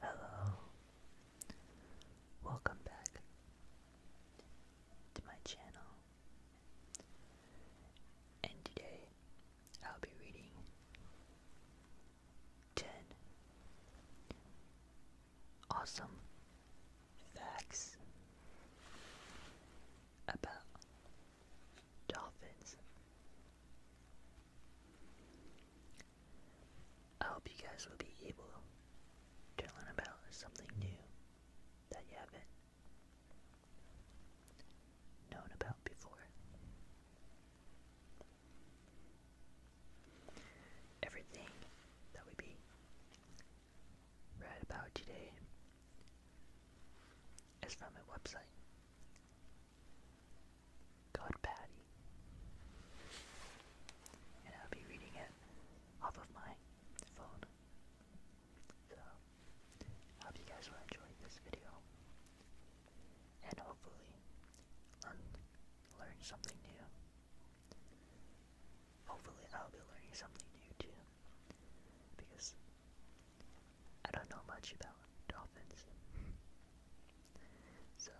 Hello. Welcome back to my channel. And today I'll be reading 10 awesome facts about dolphins. I hope you guys will be able to learn about something new that you haven't known about before. Everything that we be read about today is from a website called And I'll be reading it off of my phone. So, hope you guys will enjoy this video. And hopefully, learn something new hopefully I'll be learning something new too. Because I don't know much about dolphins. so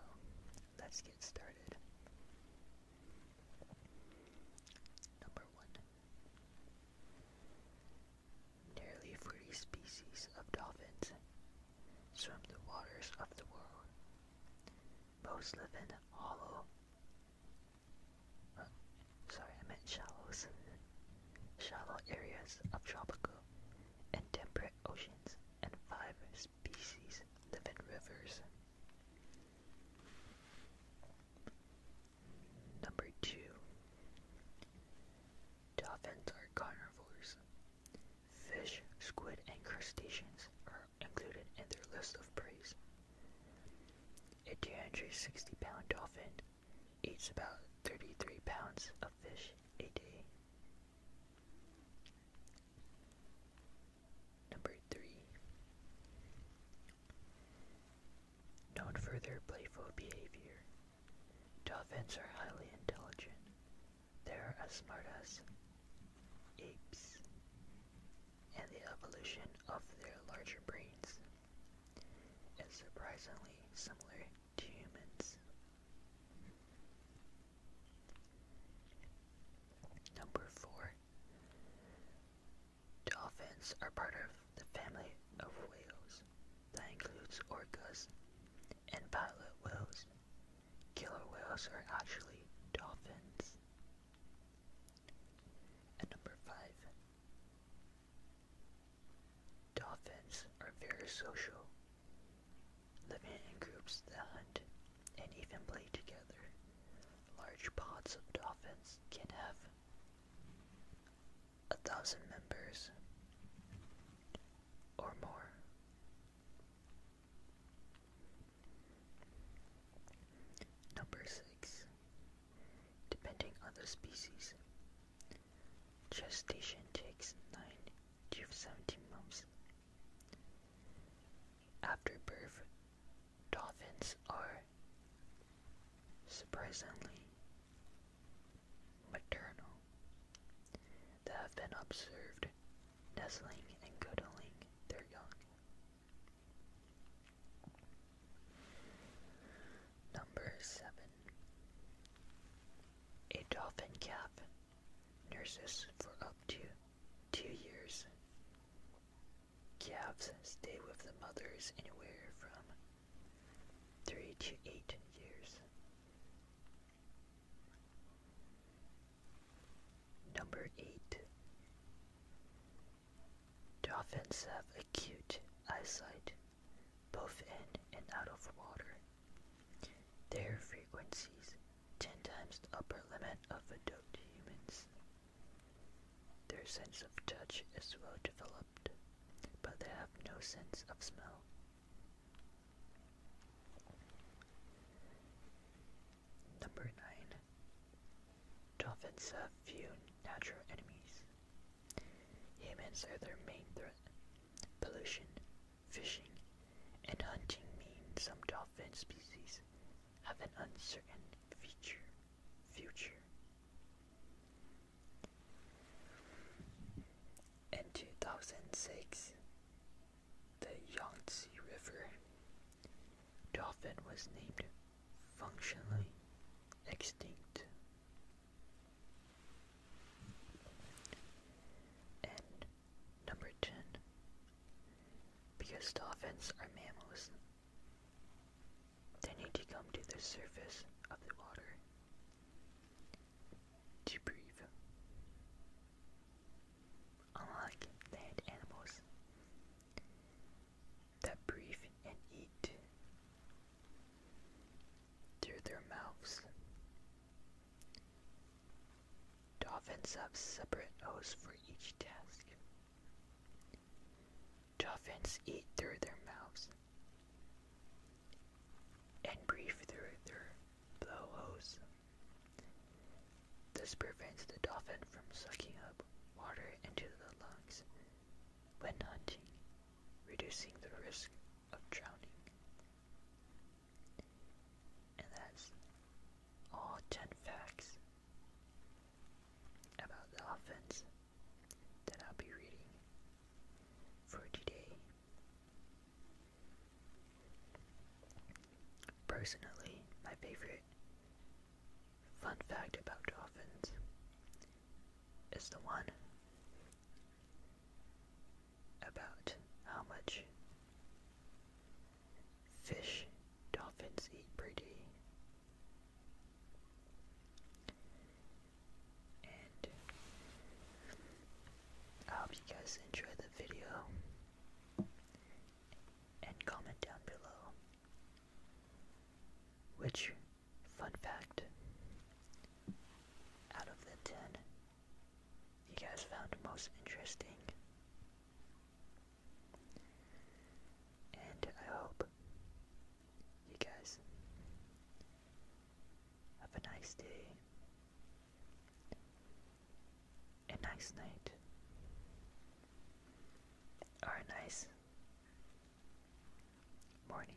let's get started. Number one. Nearly 40 species of dolphins swim the waters of the world. Most live in hollow, sorry, I meant shallows. Shallow areas of tropical and temperate oceans, and five species live in rivers. Number two, dolphins are carnivores. Fish, squid, and crustaceans are included in their list of preys. A 260 pound dolphin eats about 33 pounds of fish a day. Number 3. Known for their playful behavior. Dolphins are highly intelligent. They are as smart as apes and the evolution of their larger brains is surprisingly similar to humans. Number 4. Dolphins are part of the family of whales that includes orcas and pilot whales. Killer whales are actually dolphins. And number five, dolphins are very social, living in groups that hunt and even play together. Large pods of dolphins can have a thousand members or more. Number 6. Depending on the species, gestation takes 9 to 17 months. After birth, dolphins are surprisingly maternal that have been observed nestling and cuddling their young. Number 7. A dolphin calf nurses for up to two years. Calves stay with the mothers anywhere from three to eight years. Number 8. Dolphins have acute eyesight, both in and out of water. Their frequencies 10 times the upper limit of adult humans. Their sense of touch is well developed, but they have no sense of smell. Number 9. Dolphins have few natural enemies. Humans are their main threat. Pollution, fishing, and hunting mean some dolphin species have an uncertain feature, future. In 2006, the Yangtze River dolphin was named functionally extinct. And number 10, because dolphins are mammals, they need to come to the surface of the water to breathe. Unlike land animals that breathe and eat through their mouths, dolphins have separate O's for each task. Dolphins eat through their mouths and breathe through their blowholes. This prevents the dolphin from sucking up water into the lungs when hunting, reducing the risk of drowning. And that's all 10 facts about the offense that I'll be reading for today. Personally, my favorite fun fact about dolphins is the one about how much Fish, dolphins eat pretty. And I hope you guys enjoyed the video. And comment down below which fun fact out of the 10 you guys found most interesting. And I hope you guys have a nice day, a nice night, or a nice morning.